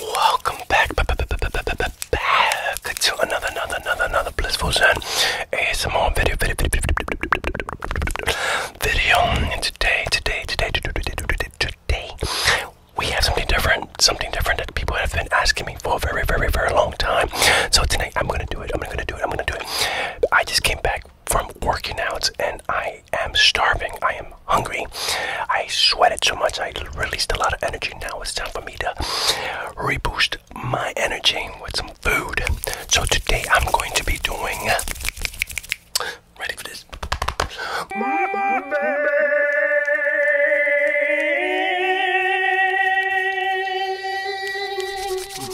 Welcome back, to another, another, another, another blissful zen ASMR video, video, video, video. today, today, today, today, today, we have something different, something different that people have been asking me for a very, very, very long time. So tonight, I'm gonna do it. I'm gonna do it. I'm gonna do it. I just came back from working out and I am starving. I am hungry. I sweated so much, I released a lot of energy. Now it's time for me to reboost my energy with some food. So today I'm going to be doing. Ready for this?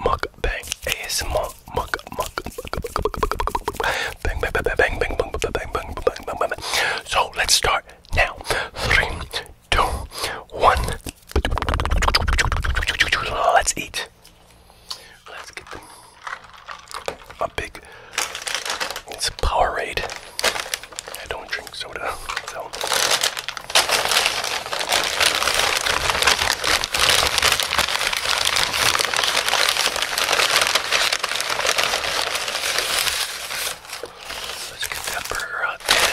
mukbang ASMR muk muk bang bang bang bang bang bang bang bang bang bang bang bang So let's start now. Three, two, one. Let's eat. Let's get them. A big. It's a Powerade. I don't drink soda, so Let's get that burger out there.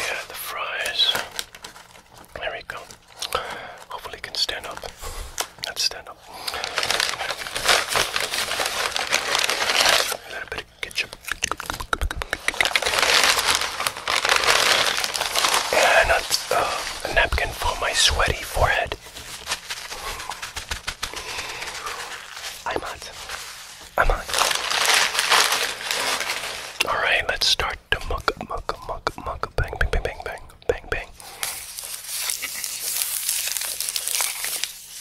Yeah, the fries. There we go. Hopefully, you can stand up. Let's stand up. A little bit of ketchup. And a, uh, a napkin for my sweaty forehead. I'm hot. I'm hot. Alright, let's start the mug, mug, mug, mug, bang, bang, bang, bang, bang, bang, bang.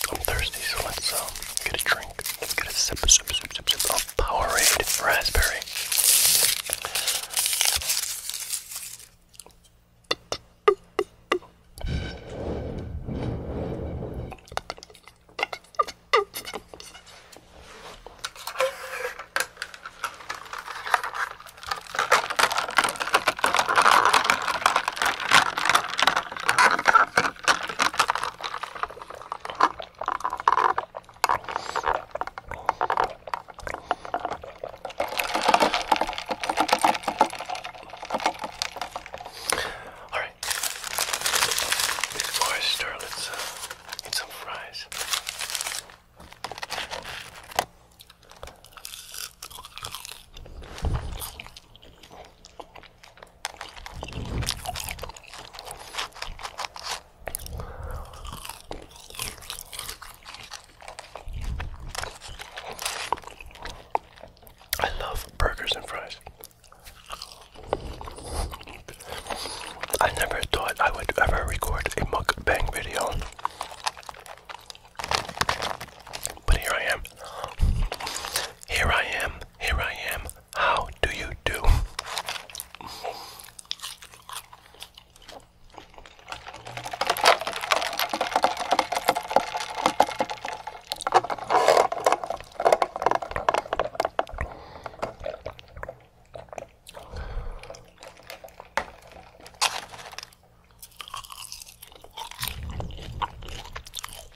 I'm thirsty, so let's um, get a drink. Let's get a sip, sip, sip, sip, sip of Powerade Raspberry. All right. Before I stir, let's uh, eat some fries. I love burgers and fries. I never thought I would ever record a mukbang video. But here I am. Here I am, here I am. How do you do?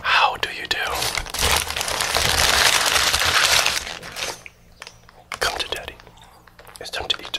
How do you do? Come to daddy. It's time to eat.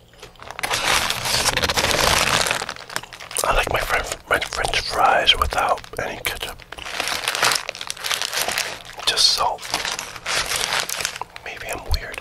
I like my, friend, my French fries without any ketchup. Just salt. Maybe I'm weird.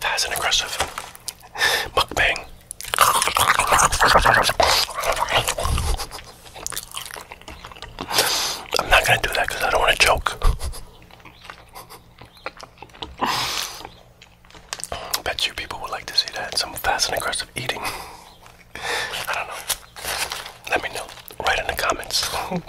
That is an aggressive mukbang. I'm not gonna do that because I don't want to choke. Bet you people would like to see that. Some fast and aggressive eating. I don't know. Let me know. Write in the comments.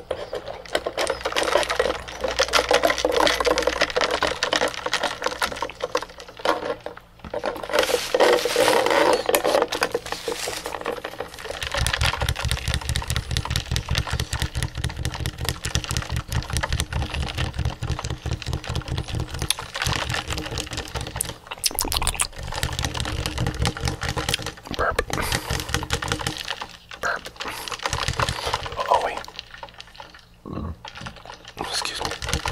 Burp burp. Oh, oh wait. Mm. Excuse me. Hiccups.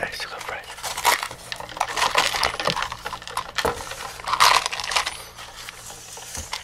I still got fried.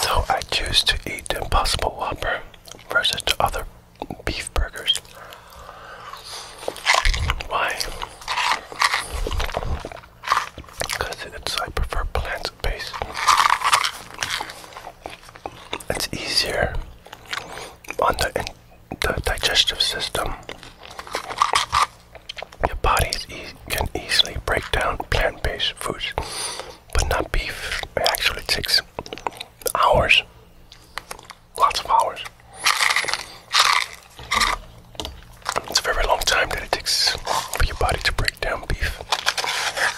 So I choose to eat the Impossible Whopper versus other beef burgers. Why? Because it's prefer plant-based it's easier on the, digestive system. Your body can easily break down plant-based foods, but not beef. It actually takes hours, lots of hours. It's a very long time that it takes for your body to break down beef.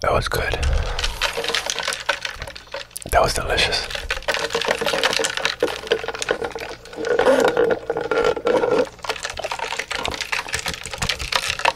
That was good. That was delicious.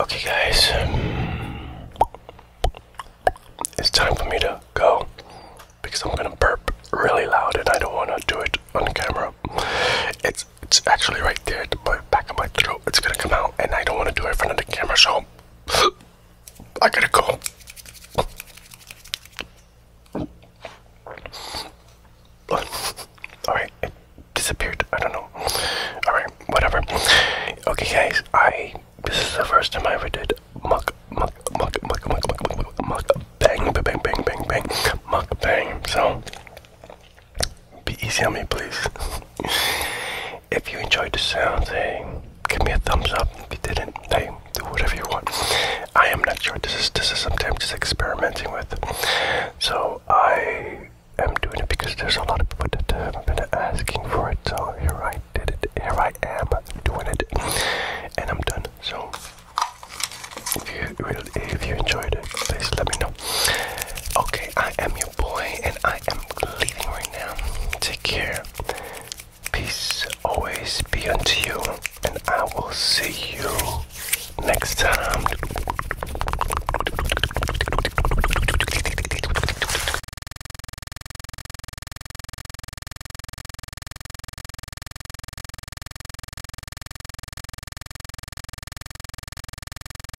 Okay, guys, it's time for me to go because I'm gonna burp really loud and I don't want to do it on camera. It's it's actually right there at the back of my throat. It's gonna come out, and I don't want to do it in front of the camera, so home. I gotta go. Alright, oh, it disappeared. I don't know. Alright, whatever. Okay, guys, I. This is the first time I ever did muck, muck, muck, muck, muck, muck, muck, muck, bang, bang, bang, bang, bang, muck, bang. So, be easy on me, please. if you enjoyed the sound, hey, give me a thumbs up. If you didn't, hey, do whatever you want. I am not sure. This is this is something I'm just experimenting with. So I am doing it because there's a lot of people that have been asking for it. So here I did it. Here I am doing it, and I'm done. So if you really, if you enjoyed it, please let me know. Okay, I am your boy, and I am leaving right now. Take care. Peace always be unto you, and I will see you next time.